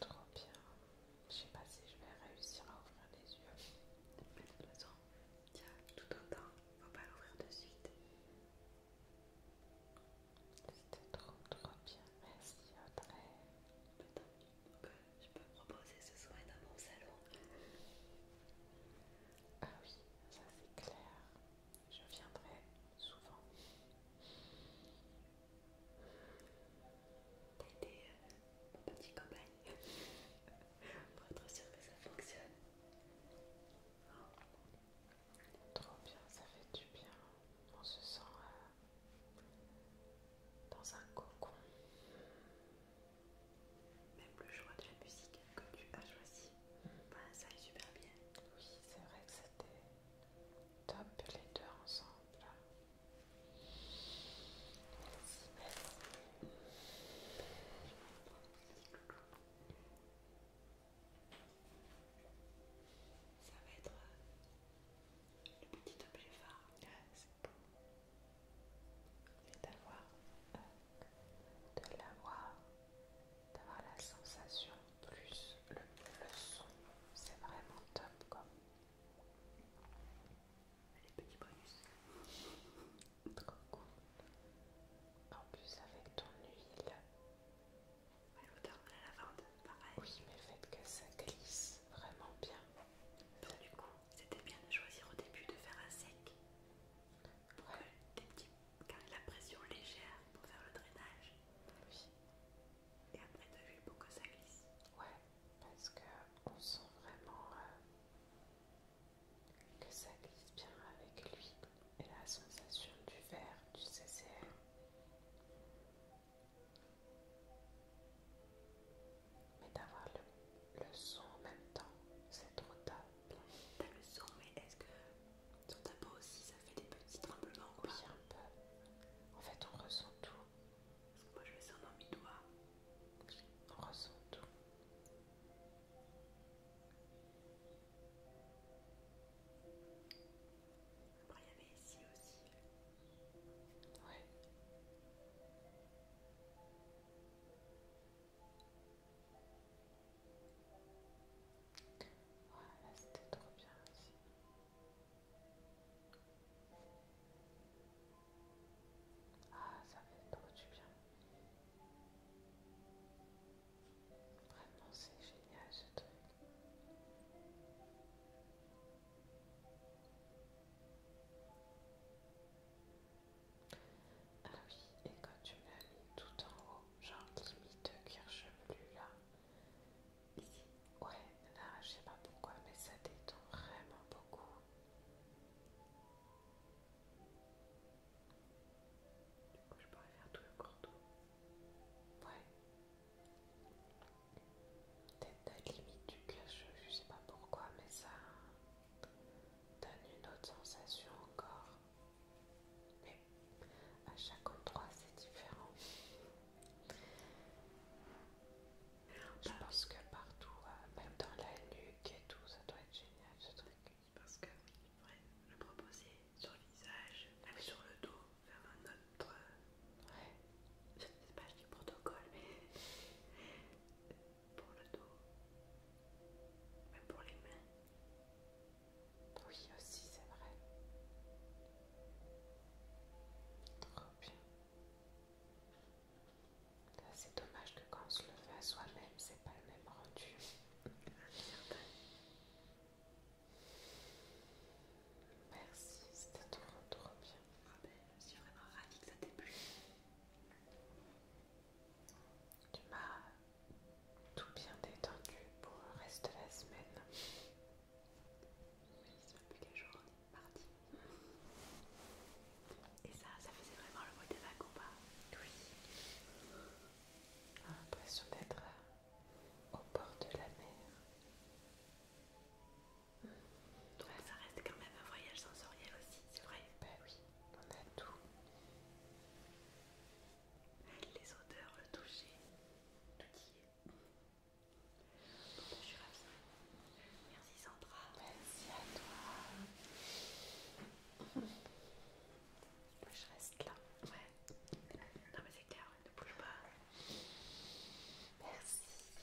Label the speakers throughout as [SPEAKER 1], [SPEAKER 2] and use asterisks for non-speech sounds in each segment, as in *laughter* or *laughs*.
[SPEAKER 1] Trop bien. Je sais pas si je vais réussir à ouvrir les yeux. Mais toute façon, Tiens, tout autant. temps, faut pas l'ouvrir de suite. C'était trop trop bien. Merci Peut-être que je peux proposer ce soin dans mon salon. Ah oui, ça c'est clair. Je viendrai souvent. T'as été euh, mon petit *laughs* pour être sûr que ça fonctionne. Oh. Trop bien, ça fait du bien. On se sent euh, dans un cocon. Même le choix de la musique que tu as choisi, mm. ça est super bien. Oui, c'est vrai que c'était Top, les deux ensemble. Ça va être euh, le petit objet phare. Ah, c'est beau. Et d'avoir, euh, de l'avoir, d'avoir la sensation plus le, son, c'est vraiment top comme les petits bonus. En plus avec ton huile. L'odeur de la lavande, pareil. Oui, mais fait que ça glisse vraiment bien. Bah, du coup, c'était bien de choisir au début de faire un sec. pour Des la pression légère pour faire le drainage et après de vu beaucoup ça glisse. Ouais, parce que on sent vraiment euh, que ça glisse bien avec lui. et la sensation du verre du CCR. Mais d'avoir le, son en même temps, c'est trop tard. T'as le son, mais est-ce que sur ta peau aussi ça fait des petits tremblements Oui, un peu. En fait, on ressent tout. Parce que moi je descends dans mes doigts. On ressent tout. Après il y avait ici aussi. Ouais. Voilà, ah, c'était trop bien aussi. Ah, ça fait trop du bien. Vraiment, c'est génial ce truc. Ah oui, et quand tu l'as mis tout en haut, genre limite de cuir chevelu là, Ouais, là, je sais pas pourquoi, mais ça détend vraiment beaucoup. Du coup, je pourrais faire tout le cordon. Ouais. Peut-être la limite du cœur, je sais pas pourquoi, mais ça donne une autre sensation encore. Mais à chaque endroit, c'est différent. Je bah, pense que partout, euh, même dans la nuque et tout, ça doit être génial ce truc. parce que oui, devrait le proposer sur le visage, sur le dos, faire un autre. ouais, euh, je sais pas, je protocole, mais pour le dos, même pour les mains. Oui, aussi, c'est vrai. Trop bien. C'est dommage que quand on se le fait à soi-même, c'est pas le même rendu. Merci, c'était trop trop bien. Ah ben, je suis vraiment ravie que ça t'ait plu. Tu m'as tout bien détendu pour le reste de la semaine plus qu'un jours, on est parti. Et ça, ça faisait vraiment le mot des la combat. pas Oui. L'impression d'être euh, au bord de la mer. ça reste quand même un voyage sensoriel aussi, c'est vrai Bah oui, on a tout. Les odeurs, le toucher, tout y est je suis ravie. Merci Sandra. Merci à toi. je reste là. Ouais. Non mais c'est clair, ne bouge pas. Merci.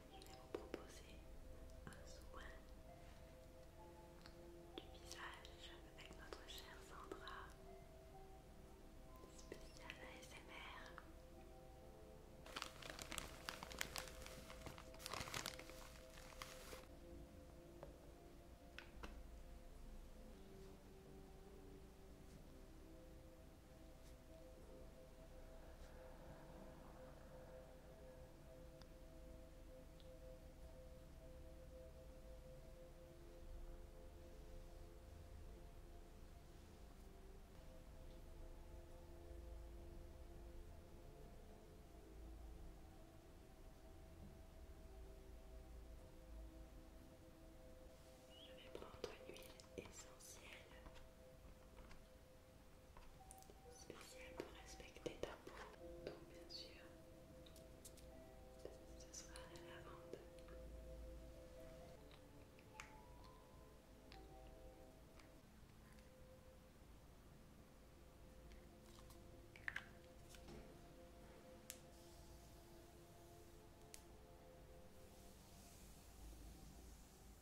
[SPEAKER 1] vais vous proposer un soin du visage avec notre chère Sandra, spéciale ASMR. Je vais prendre une huile essentielle spécial pour respecter ta peau. Donc bien sûr, ce sera la lavande.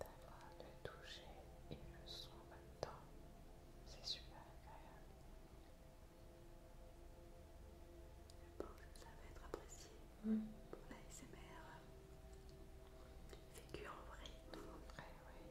[SPEAKER 1] D'avoir le toucher et le son en même temps, c'est super agréable. Je pense que ça va être apprécié mmh. pour la SMR. Figure en vrai. En vrai, oui.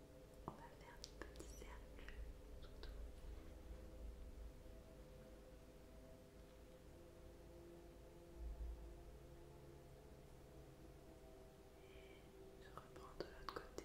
[SPEAKER 1] on va faire des petits je reprends de l'autre côté.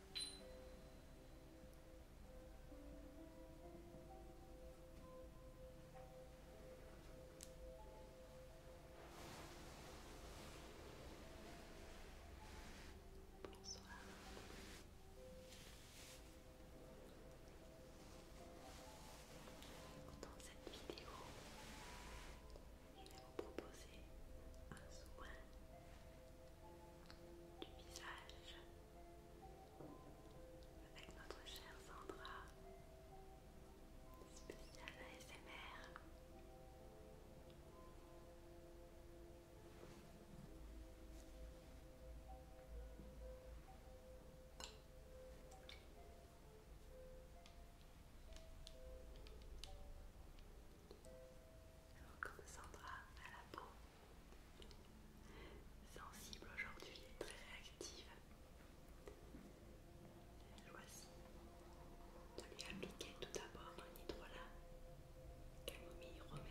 [SPEAKER 1] Bonsoir. Dans cette vidéo, je vais vous proposer un soin du visage avec notre chère Sandra, spécial ASMR. mères. Sandra à la peau. Sensible aujourd'hui est très réactive. Choisis de lui appliquer tout d'abord un hydrolat camomille romaine.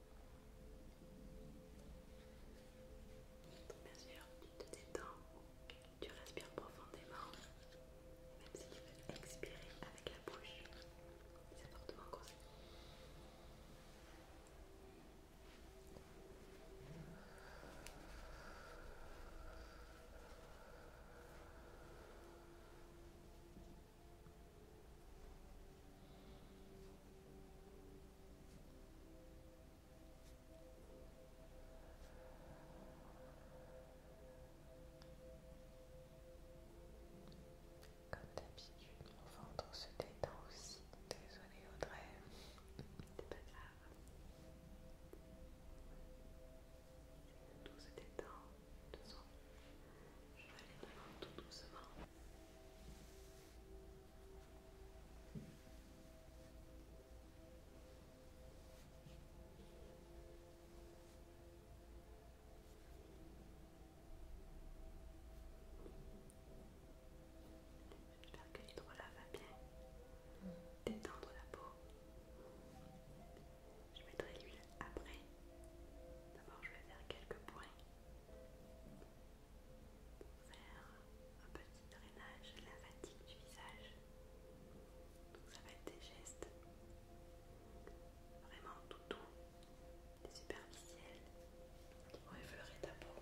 [SPEAKER 1] Bien sûr, tu te détends, tu respires profondément, même si tu veux expirer avec la bouche, c'est fortement conseillé. Comme d'habitude, mon ventre se détend aussi. Désolée Audrey, c'est pas grave. Tout se détend, Je vais aller vraiment tout doucement. J'espère que l'hydrolat va bien détendre la peau. Je mettrai l'huile après. D'abord, je vais faire quelques points faire un petit drainage de la fatigue du visage. Donc ça va être des gestes vraiment tout doux, des superficiels qui vont effleurer ta peau.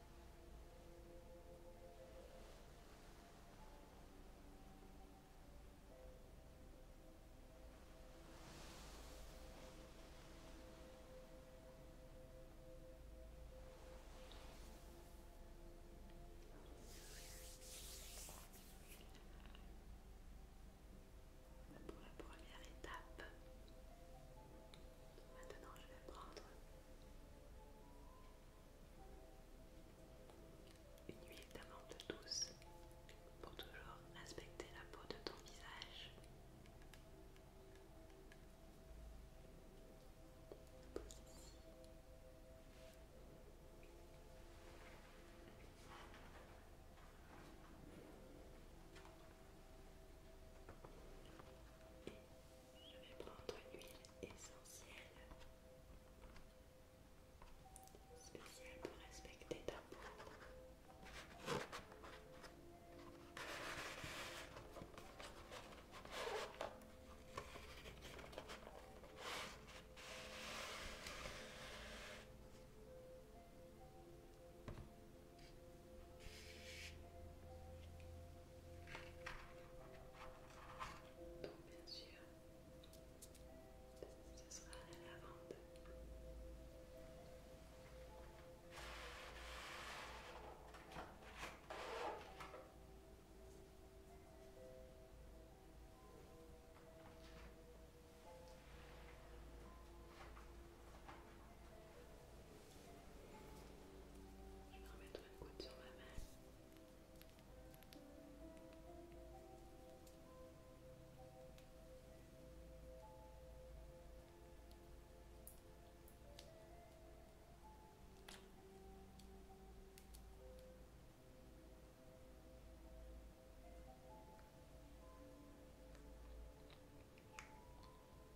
[SPEAKER 1] Pour la première étape, Maintenant, je vais prendre une huile d'amande douce pour toujours inspecter la peau de ton visage. Je vais prendre une huile essentielle spéciale pour respecter ta peau. Donc bien sûr, ce sera la lavande. Je vais remettre une sur ma main.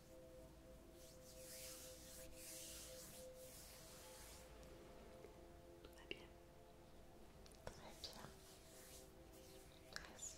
[SPEAKER 1] Tout va bien Très bien. je te laisse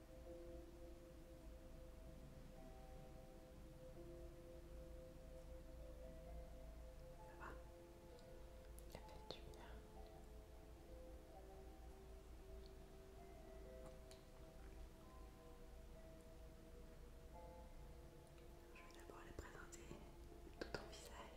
[SPEAKER 1] Je vais d'abord les présenter tout ton visage.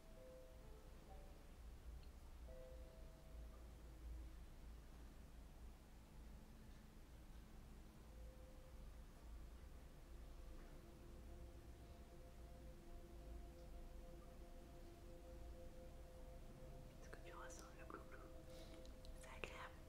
[SPEAKER 1] Est-ce que tu ressens le coucou C'est agréable.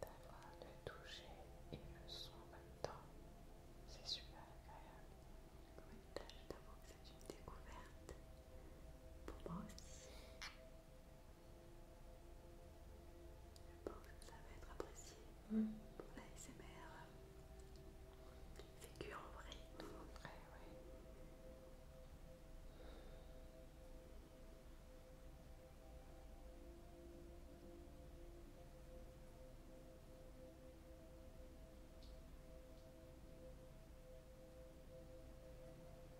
[SPEAKER 1] D'avoir le toucher et le son en même temps, c'est super agréable. Comme une c'est une découverte pour moi aussi. Je pense ça va être apprécié mm. pour la SMR. figure en vrai. tout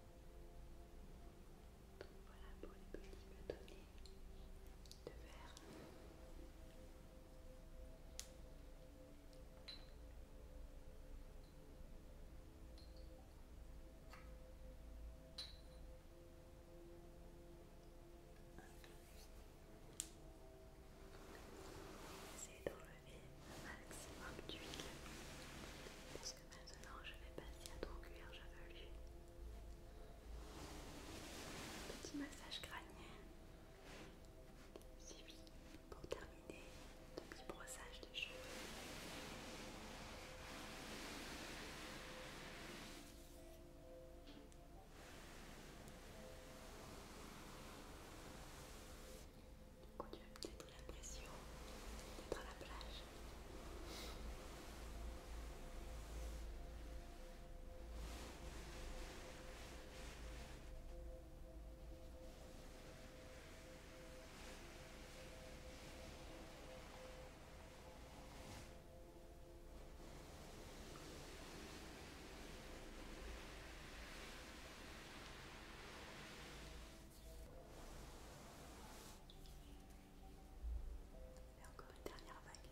[SPEAKER 1] Donc voilà pour les petits bâtonnets de verre. C'est dans j'avais un maximum d'huile parce que maintenant je vais passer à ton cuir chevelu. Petit massage crânien. Suivi pour terminer le petit brossage de cheveux. Du coup, tu as peut-être l'impression d'être à la plage encore une dernière vague.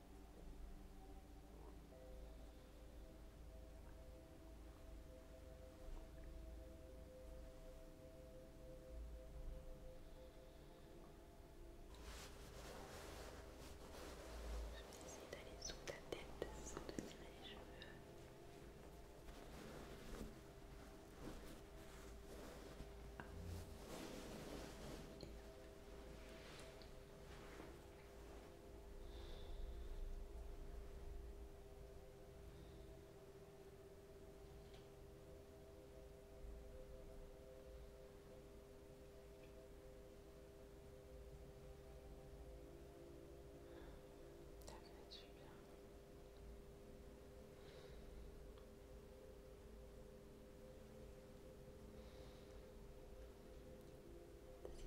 [SPEAKER 1] Je vais essayer d'aller sous ta tête sans te tirer les cheveux. Et hop. Ça fait bien.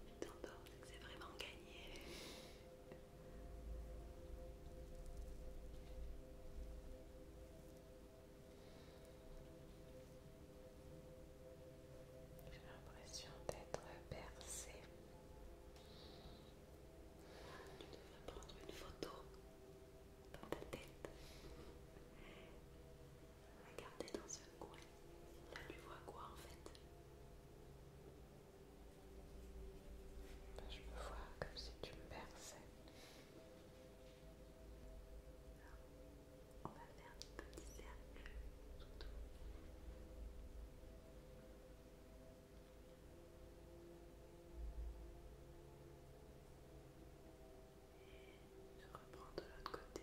[SPEAKER 1] Si tu c'est vraiment gagné. J'ai l'impression d'être percé. Tu devrais prendre une photo dans ta tête. Regardez dans ce coin. Là, tu vois quoi en fait Je me vois comme si tu me perçais. On va faire un petit cercle je reprends de l'autre côté.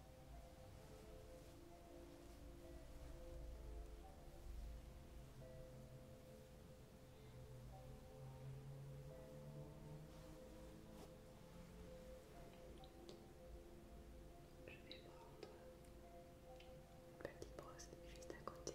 [SPEAKER 1] Je vais prendre une petite brosse juste à côté.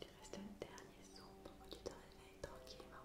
[SPEAKER 1] Il reste un dernier son pour que tu te réveilles tranquillement.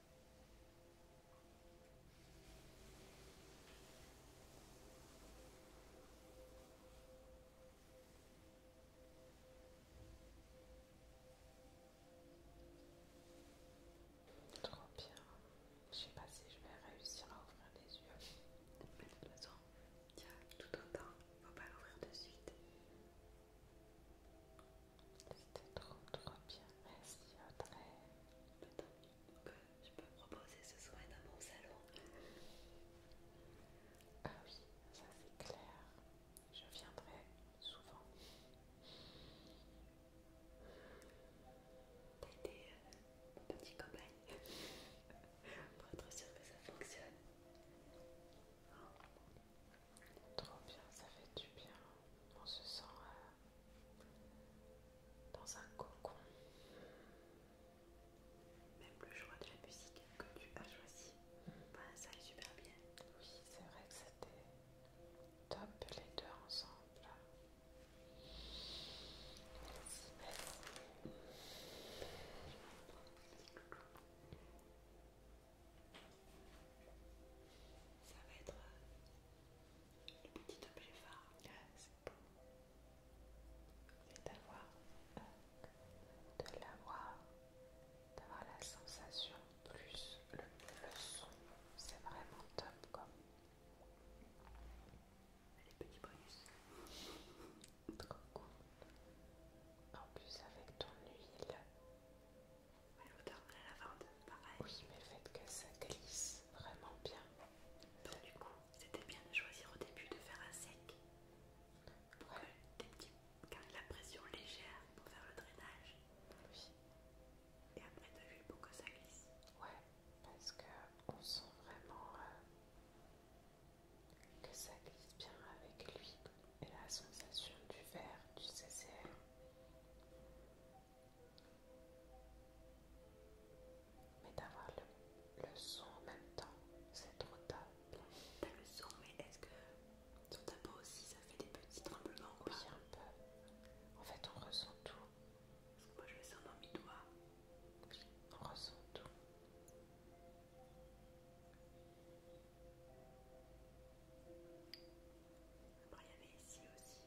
[SPEAKER 1] Trop bien. Je sais pas si je vais réussir à ouvrir les yeux. Mais de toute il y a tout un temps. Faut pas l'ouvrir de suite. C'était trop trop bien. Merci que je peux proposer ce soir dans mon salon. Ah oui, ça c'est clair. Je viendrai souvent. T'as été mon petit pour être sûr que ça fonctionne. Trop bien, ça fait du bien. On se sent euh, dans un cocon. Même le choix de la musique que tu as choisi, ça est super bien. Oui, c'est vrai que c'était top les deux ensemble. Ça va être euh, le petit objet phare. c'est beau. Et d'avoir euh, de l'avoir, d'avoir la sensation plus le, son, c'est vraiment top comme. Les petits bonus. Trop cool. En plus avec ton huile l'odeur de la lavande, pareil. Oui, mais le fait que ça glisse vraiment bien. du coup, c'était bien de choisir au début de faire un sec. Pour la pression légère pour faire le drainage. Oui. Et après de l'huile pour que ça glisse. Ouais, parce que on sent vraiment euh, que ça glisse bien avec l'huile. Et la sensation du verre, du CCR. Mais d'avoir le, son en même temps, c'est trop top. T'as le son, mais est-ce que sur ta peau aussi ça fait des petits tremblements Oui, un peu. En fait, on ressent tout. Parce que moi je le sens dans mes doigts. on ressent tout. Après, il y avait ici aussi.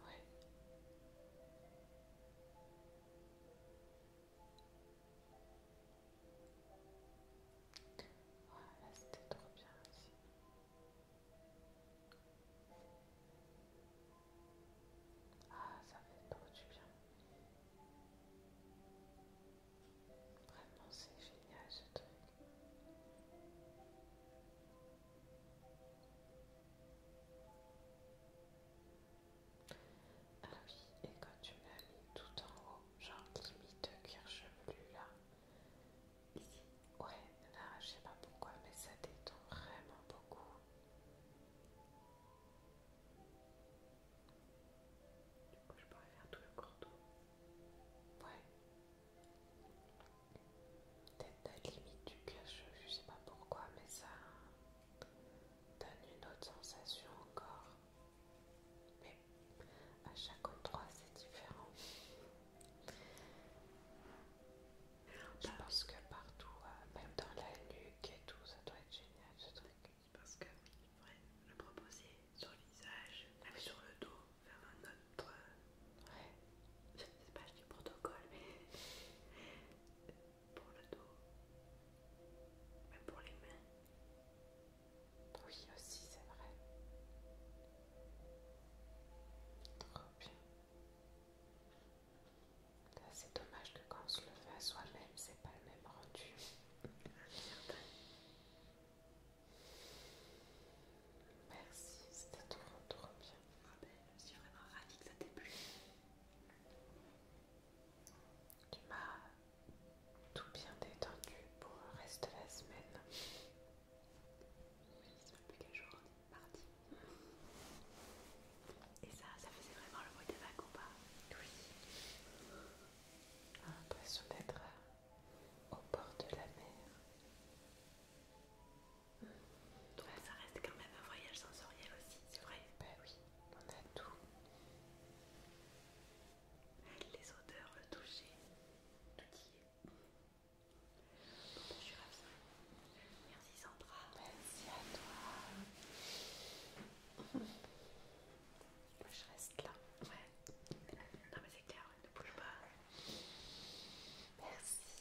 [SPEAKER 1] Ouais. Voilà, c'était trop bien aussi. Ah, ça fait trop du bien. Vraiment, c'est génial ce truc. Ah oui, et quand tu me mis tout en haut, genre limite cuir chevelu là, ici, ouais, là je sais pas pourquoi, mais ça détend vraiment beaucoup. Du coup, je pourrais faire tout le cordon. Ouais, Peut-être limite du cache, je sais pas pourquoi, mais ça donne une autre sensation encore. Mais à chaque endroit, c'est différent. Je pense que partout, euh, même dans la nuque et tout, ça doit être génial ce truc. Parce que, faudrait le proposer sur le visage, sur le dos, faire un autre. Euh, je ne sais pas du protocole, mais pour le dos, mais pour les mains. Oui, aussi, c'est vrai. Trop bien. C'est dommage que quand on se le fait à soi-même, c'est pas le même rendu. *laughs* Merci, c'était trop trop bien. Ah ben, je suis vraiment ravie que ça t'ait plu. Tu m'as tout bien détendu pour le reste de la semaine. Oui, ça plus qu'un jour, on est parti. Et ça, ça faisait vraiment le bruit des vagues ou pas Oui. l'impression d'être au bord de la mer. Donc ça reste quand même un voyage sensoriel aussi, c'est vrai Bah oui, on a tout. Les odeurs, le toucher, tout y est. je suis ravie. Merci Sandra. Merci à toi. *laughs* je reste là. Ouais. Non mais c'est clair ne bouge pas. Merci.